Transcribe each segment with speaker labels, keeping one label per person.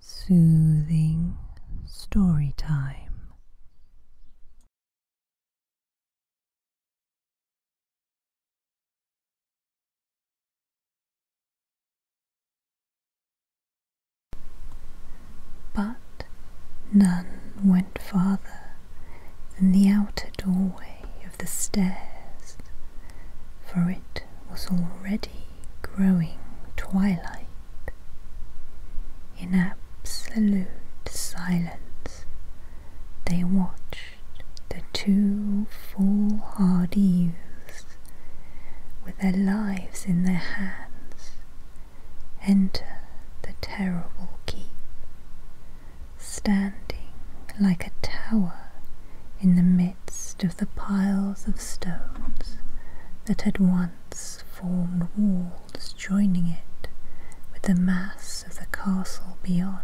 Speaker 1: Soothing story time. But none went farther than the outer doorway of the stairs, for it was already steady growing twilight, in absolute silence, they watched the two foolhardy youths with their lives in their hands enter the terrible keep, standing like a tower in the midst of the piles of stones that had once formed walls joining it with the mass of the castle beyond.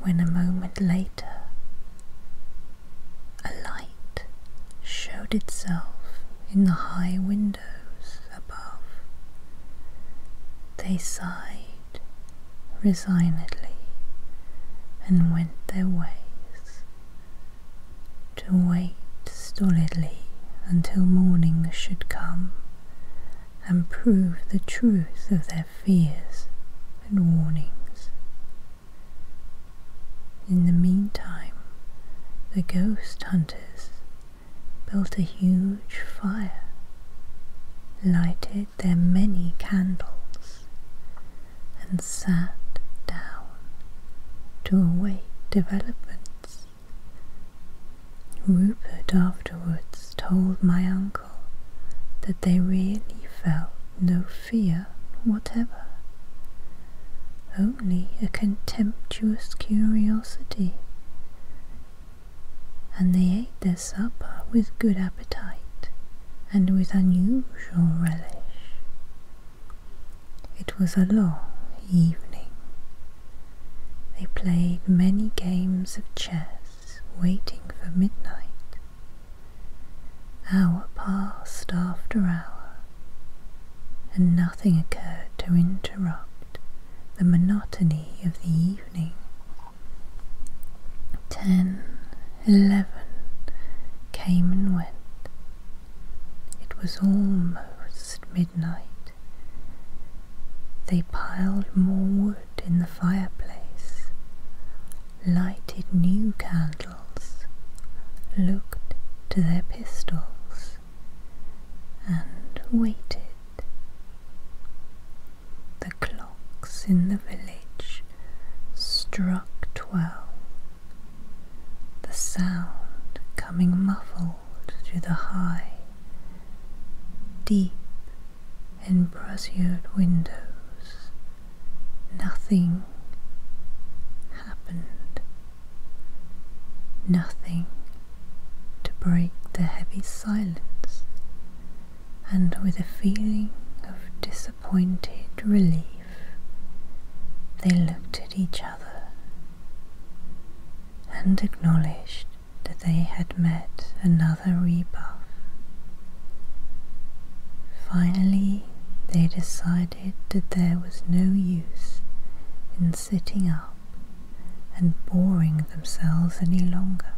Speaker 1: When a moment later a light showed itself in the high windows above, they sighed resignedly and went their way to wait stolidly until morning should come and prove the truth of their fears and warnings. In the meantime, the ghost hunters built a huge fire, lighted their many candles and sat down to await developments. Rupert afterwards told my uncle that they really felt no fear whatever, only a contemptuous curiosity, and they ate their supper with good appetite and with unusual relish. It was a long evening. They played many games of chess, waiting for midnight. Hour passed after hour, and nothing occurred to interrupt the monotony of the evening. Ten eleven came and went. It was almost midnight. They piled more wood in the fireplace, lighted new candles, looked to their pistols, and waited. The in the village struck twelve, the sound coming muffled through the high, deep, embrasured windows. Nothing happened. Nothing to break the heavy silence, and with a feeling of disappointment. Pointed relief. They looked at each other and acknowledged that they had met another rebuff. Finally, they decided that there was no use in sitting up and boring themselves any longer.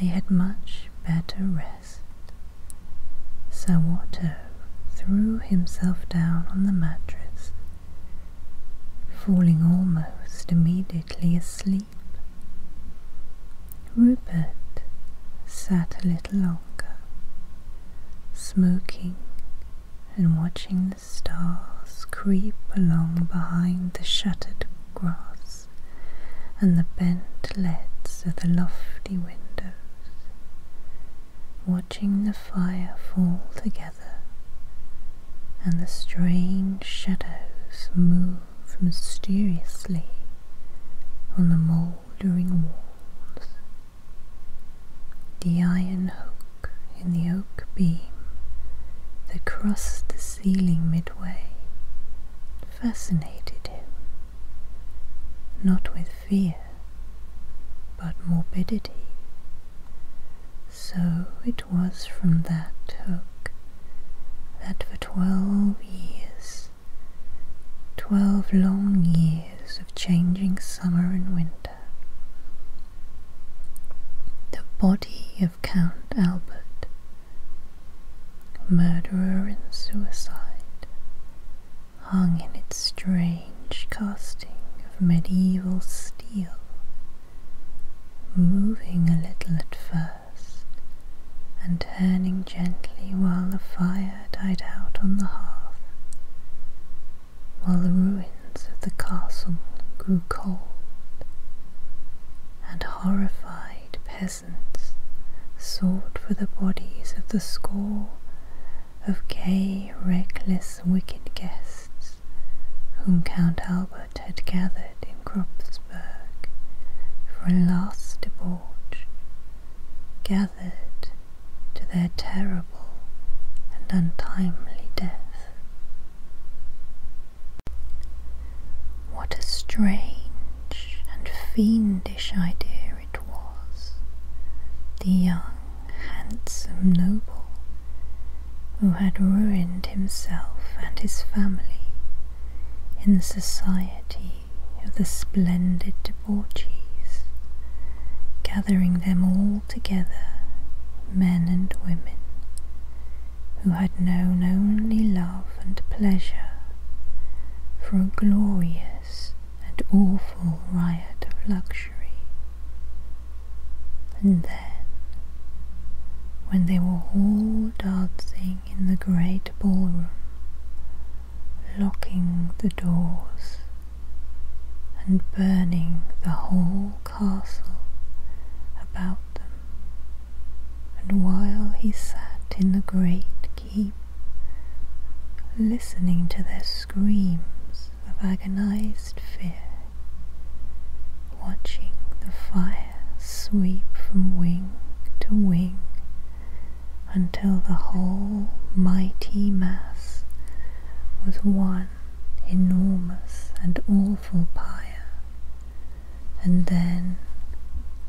Speaker 1: They had much better rest forest. Sir Watto threw himself down on the mattress, falling almost immediately asleep. Rupert sat a little longer, smoking and watching the stars creep along behind the shattered grass and the bent leads of the lofty windows, watching the fire fall together and the strange shadows move mysteriously on the mouldering walls. The iron hook in the oak beam that crossed the ceiling midway fascinated him not with fear, but morbidity. So it was from that hook that for twelve years, twelve long years of changing summer and winter, the body of Count Albert murderer and suicide, hung in its strange casting of medieval steel, moving a little at first and turning gently while the fire died out on the hearth, while the ruins of the castle grew cold, and horrified peasants sought for the bodies of the score of gay, reckless, wicked guests whom Count Albert had gathered in Kropfsburg for a last debauch, gathered to their terrible and untimely death. What a strange and fiendish idea it was. The young, handsome noble who had ruined himself and his family in the society of the splendid debauchees, gathering them all together, men and women, who had known only love and pleasure, for a glorious and awful riot of luxury. And then, when they were all dancing in the great ballroom, locking the doors and burning the whole castle about them, and while he sat in the great listening to their screams of agonized fear, watching the fire sweep from wing to wing until the whole mighty mass was one enormous and awful pyre and then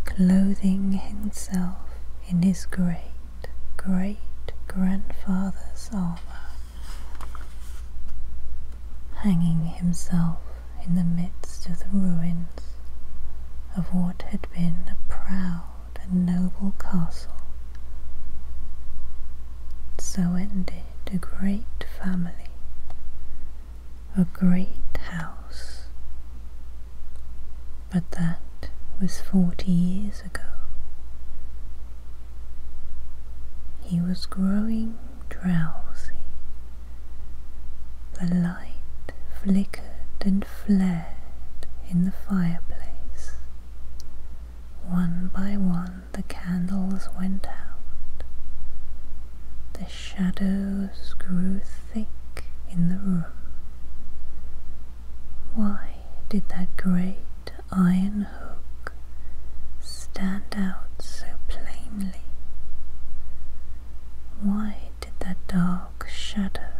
Speaker 1: clothing himself in his great great grandfather's armour, hanging himself in the midst of the ruins of what had been a proud and noble castle. So ended a great family a great house. But that was forty years ago. He was growing drowsy. The light flickered and flared in the fireplace. One by one the candles went out. The shadows grew thick in the room. Why did that great iron hook stand out so plainly? Why did that dark shadow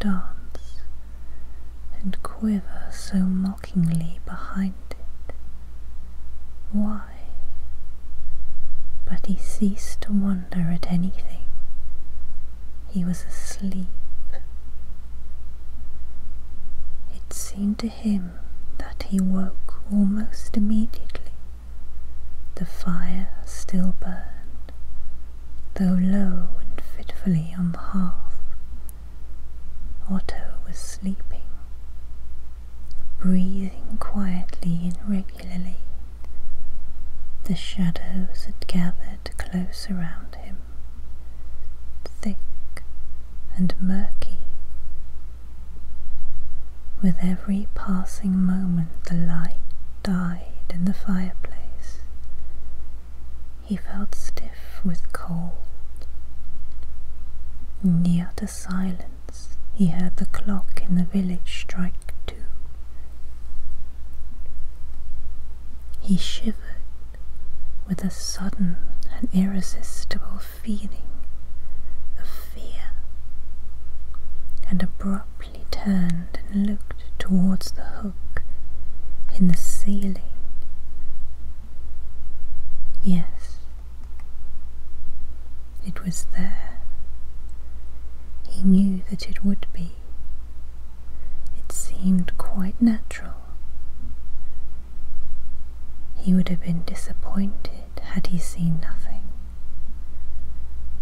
Speaker 1: dance and quiver so mockingly behind it? Why? But he ceased to wonder at anything. He was asleep. It seemed to him that he woke almost immediately. The fire still burned, though low and fitfully on the hearth. Otto was sleeping, breathing quietly and regularly the shadows had gathered close around him, thick and murky. With every passing moment, the light died in the fireplace. He felt stiff with cold. In the utter silence, he heard the clock in the village strike two. He shivered with a sudden and irresistible feeling of fear, and abruptly turned and looked towards the hook in the ceiling. Yes, it was there. He knew that it would be. It seemed quite natural. He would have been disappointed had he seen nothing.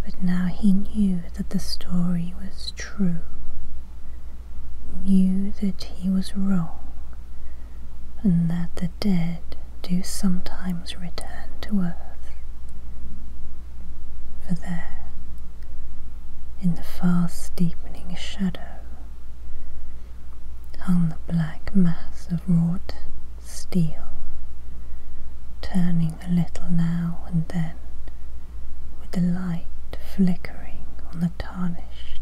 Speaker 1: But now he knew that the story was true, knew that he was wrong, and that the dead do sometimes return to earth, for there, in the fast deepening shadow, hung the black mass of wrought steel, turning a little now and then with the light flickering on the tarnished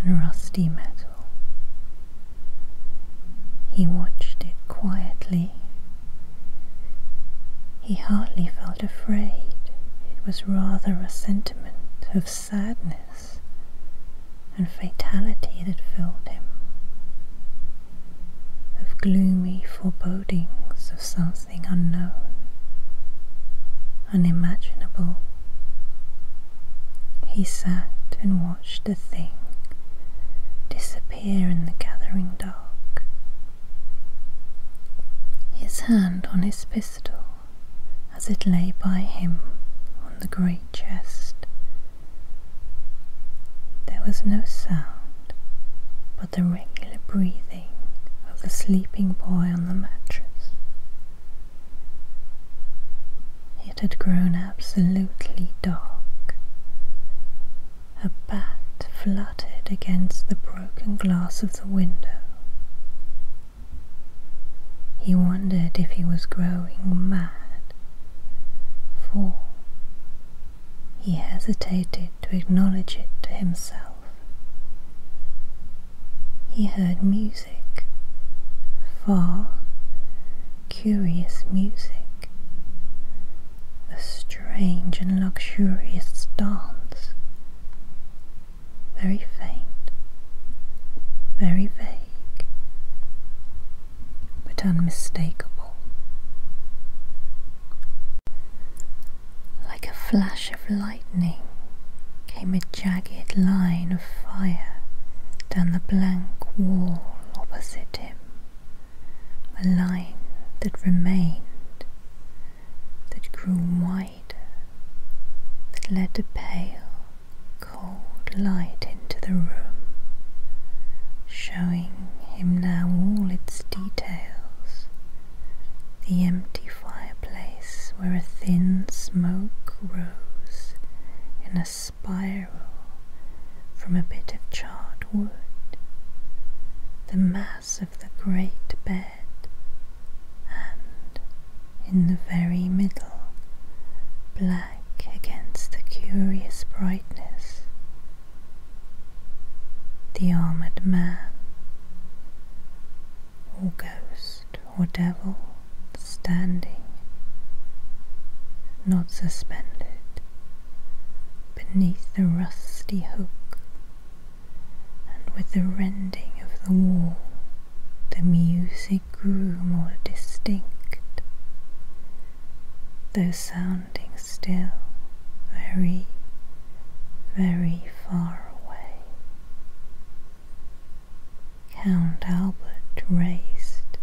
Speaker 1: and rusty metal. He watched it quietly he hardly felt afraid, it was rather a sentiment of sadness and fatality that filled him, of gloomy forebodings of something unknown, unimaginable. He sat and watched the thing disappear here in the gathering dark. His hand on his pistol as it lay by him on the great chest. There was no sound but the regular breathing of the sleeping boy on the mattress. It had grown absolutely dark, a bat fluttered against the broken glass of the window. He wondered if he was growing mad, for he hesitated to acknowledge it to himself. He heard music, far, curious music, a strange and luxurious dance, very faint, very vague, but unmistakable. Like a flash of lightning came a jagged line of fire down the blank wall opposite him a line that remained, that grew wider, that led a pale, cold light into the room, showing him now all its details the empty fireplace where a thin smoke rose in a spire from a bit of charred wood, the mass of the great bed, and in the very middle, black against the curious brightness, the armoured man or ghost or devil standing, not suspended, beneath the rusty hook, and with the rending of the wall the music grew more distinct, though sounding still very, very far away. Count Albert raised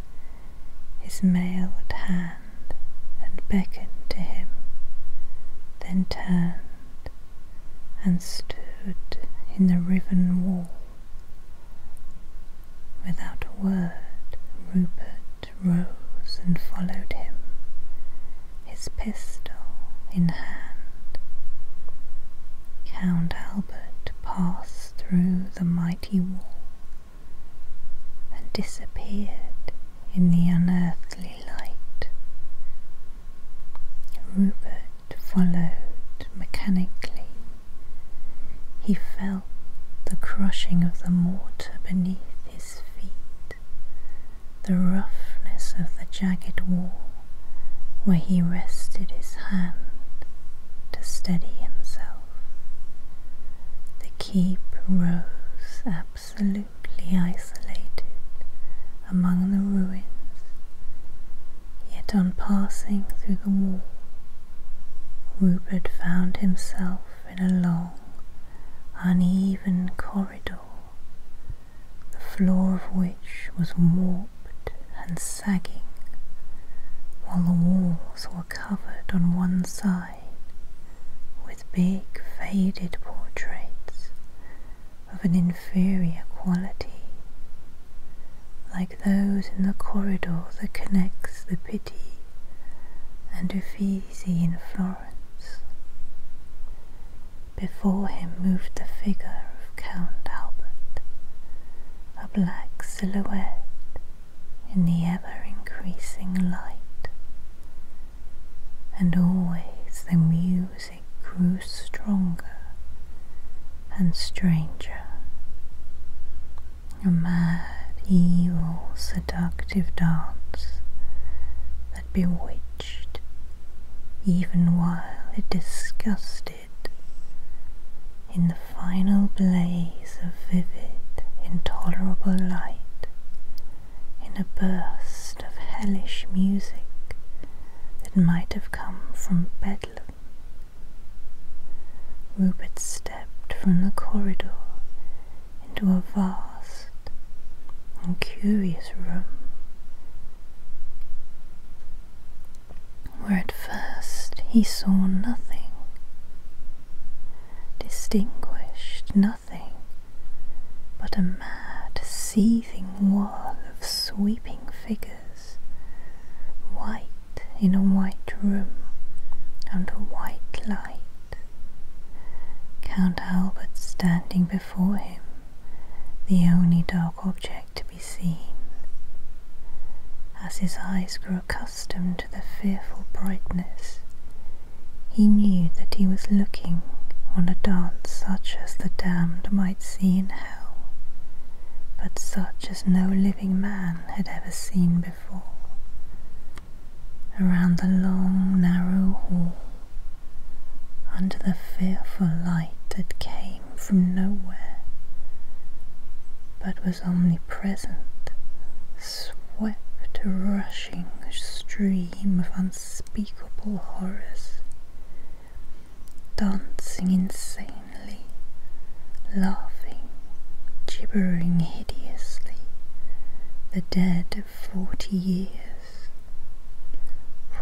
Speaker 1: his mail at hand, and beckoned to him, then turned and stood in the riven wall. Without a word, Rupert rose and followed him, his pistol in hand. Count Albert passed through the mighty wall and disappeared in the unearthly light. Rupert followed mechanically. He felt the crushing of the mortar beneath his feet, the roughness of the jagged wall where he rested his hand to steady himself. The keep rose absolutely isolated among the ruins, yet on passing through the wall, Rupert found himself in a long, uneven corridor, the floor of which was warped and sagging, while the walls were covered on one side with big faded portraits of an inferior quality, like those in the corridor that connects the Pitti and Uffizi in Florence. Before him moved the figure of Count Albert, a black silhouette in the ever increasing light, and always the music grew stronger and stranger. A mad, evil, seductive dance that bewitched, even while it disgusted, in the final blaze of vivid, intolerable light, in a burst of hellish music that might have come from Bedlam. Rupert stepped from the corridor into a vast and curious room. Where at first he saw nothing distinguished nothing but a mad seething wall of sweeping figures, white in a white room under white light. Count Albert standing before him, the only dark object to be seen. As his eyes grew accustomed to the fearful brightness, he knew that he was looking on a dance such as the damned might see in hell, but such as no living man had ever seen before. Around the long, narrow hall, under the fearful light that came from nowhere, but was omnipresent swept a rushing stream of unspeakable horrors, dancing insanely, laughing, gibbering hideously, the dead of forty years,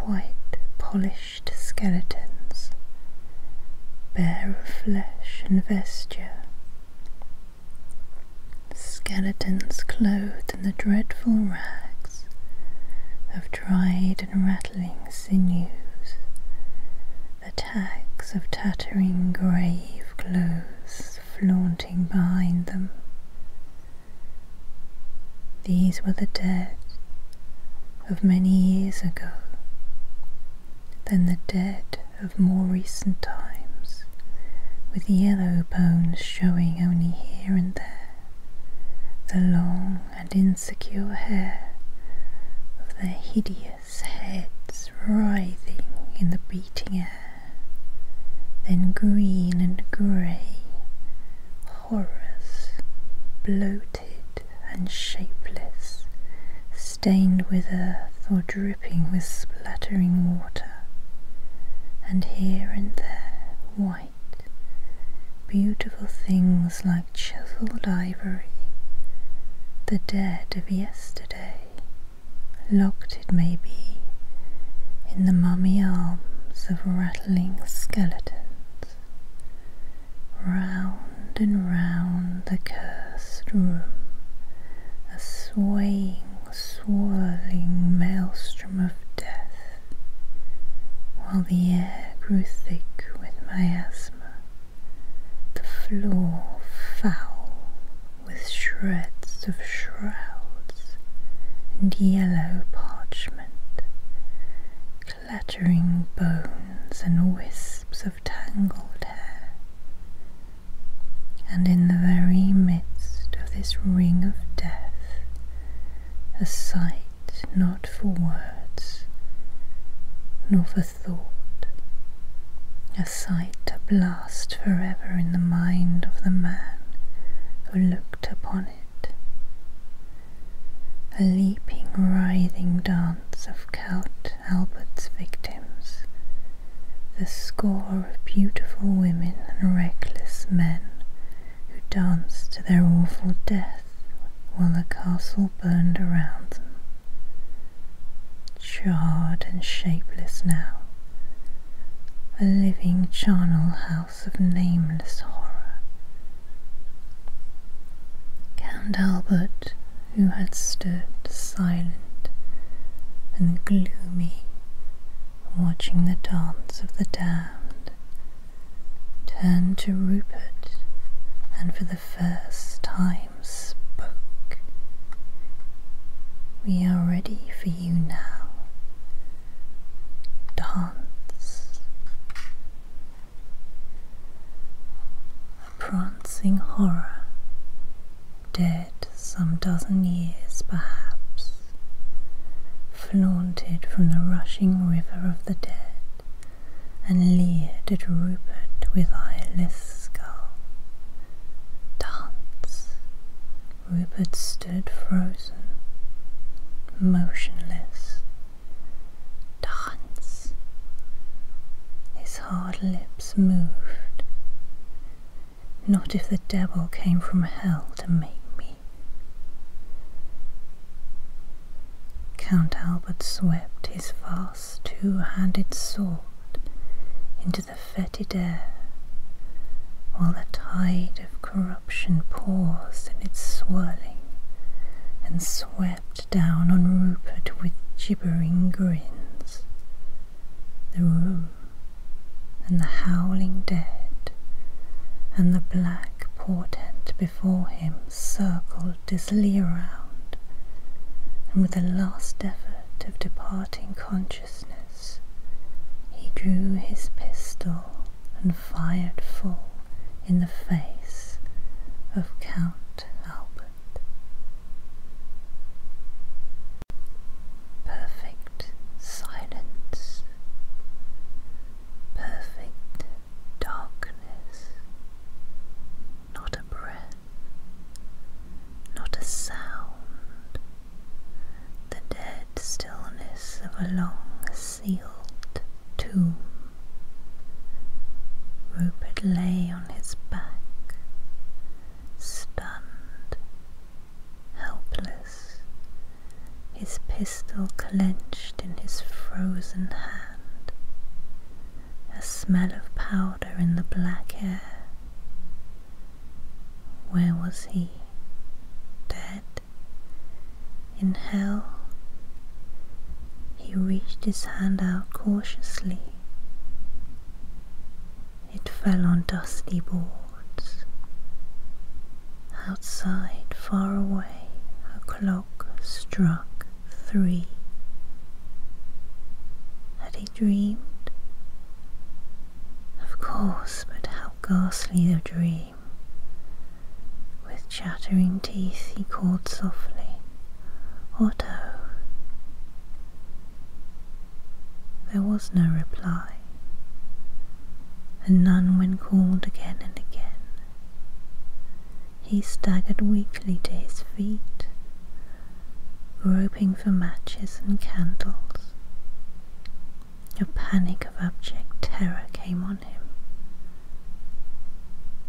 Speaker 1: white polished skeletons, bare of flesh and vesture, Skeletons clothed in the dreadful rags of dried and rattling sinews, the tags of tattering grave clothes flaunting behind them. These were the dead of many years ago, then the dead of more recent times, with yellow bones showing only here and there, the long and insecure hair of their hideous heads writhing in the beating air, then green and grey, horrors, bloated and shapeless stained with earth or dripping with splattering water, and here and there white, beautiful things like chiselled ivory, the dead of yesterday, locked it may be in the mummy arms of rattling skeletons, round and round the cursed room, a swaying, swirling maelstrom of death, while the air grew thick with miasma, the floor foul with shreds of shrouds and yellow parchment, clattering bones and wisps of tangled hair. And in the very midst of this ring of death, a sight not for words, nor for thought, a sight to blast forever in the mind of the man who looked upon it. A leaping, writhing dance of Count Albert's victims, the score of beautiful women and reckless men who danced to their awful death while the castle burned around them. Charred and shapeless now, a living charnel house of nameless horror. Count Albert who had stood silent and gloomy, watching the dance of the damned, turned to Rupert and for the first time spoke. We are ready for you now. Dance. A prancing horror dead some dozen years perhaps, flaunted from the rushing river of the dead, and leered at Rupert with eyeless skull. Dance! Rupert stood frozen, motionless. Dance! hard lips moved. Not if the devil came from hell to make me. Count Albert swept his vast two-handed sword into the fetid air, while the tide of corruption paused in its swirling and swept down on Rupert with gibbering grins the room, and the howling dead, and the black portent before him circled dizzily around, and with a last effort of departing consciousness, he drew his pistol and fired full in the face of Count Albert. Perfect silence, perfect darkness, not a breath, not a sound, the dead stillness of a long sealed tomb. Rupert lay on his back, stunned, helpless, his pistol clenched in his frozen hand, a smell of powder in the black air. Where was he? Dead? In hell? He reached his hand out cautiously it fell on dusty boards. Outside, far away, a clock struck three. Had he dreamed? Of course, but how ghastly a dream. With chattering teeth he called softly, Otto. There was no reply, and none when called again and again. He staggered weakly to his feet, groping for matches and candles. A panic of abject terror came on him.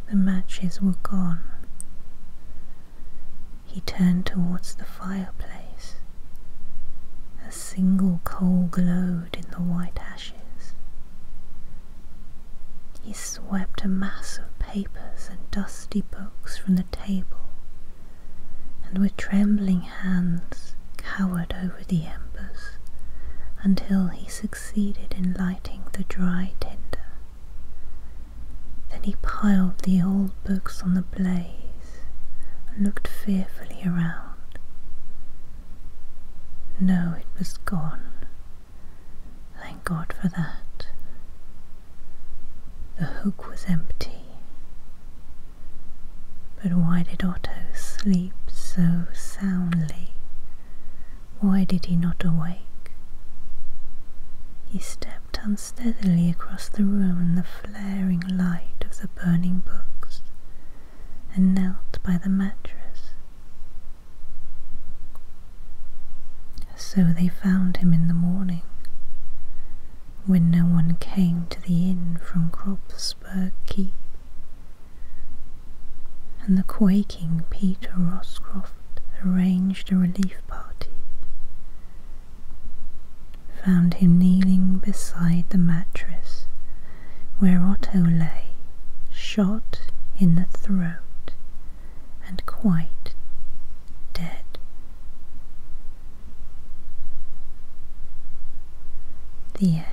Speaker 1: The matches were gone. He turned towards the fireplace. A single coal glowed in the white ashes. He swept a mass of papers and dusty books from the table, and with trembling hands cowered over the embers until he succeeded in lighting the dry tinder. Then he piled the old books on the blaze and looked fearfully around. No, it was gone. Thank God for that. The hook was empty. But why did Otto sleep so soundly? Why did he not awake? He stepped on steadily across the room in the flaring light of the burning books, and knelt by the mattress. So they found him in the morning, when no one came to the inn from Kropsberg Keep, and the quaking Peter Roscroft arranged a relief party found him kneeling beside the mattress where Otto lay, shot in the throat and quite dead. The end.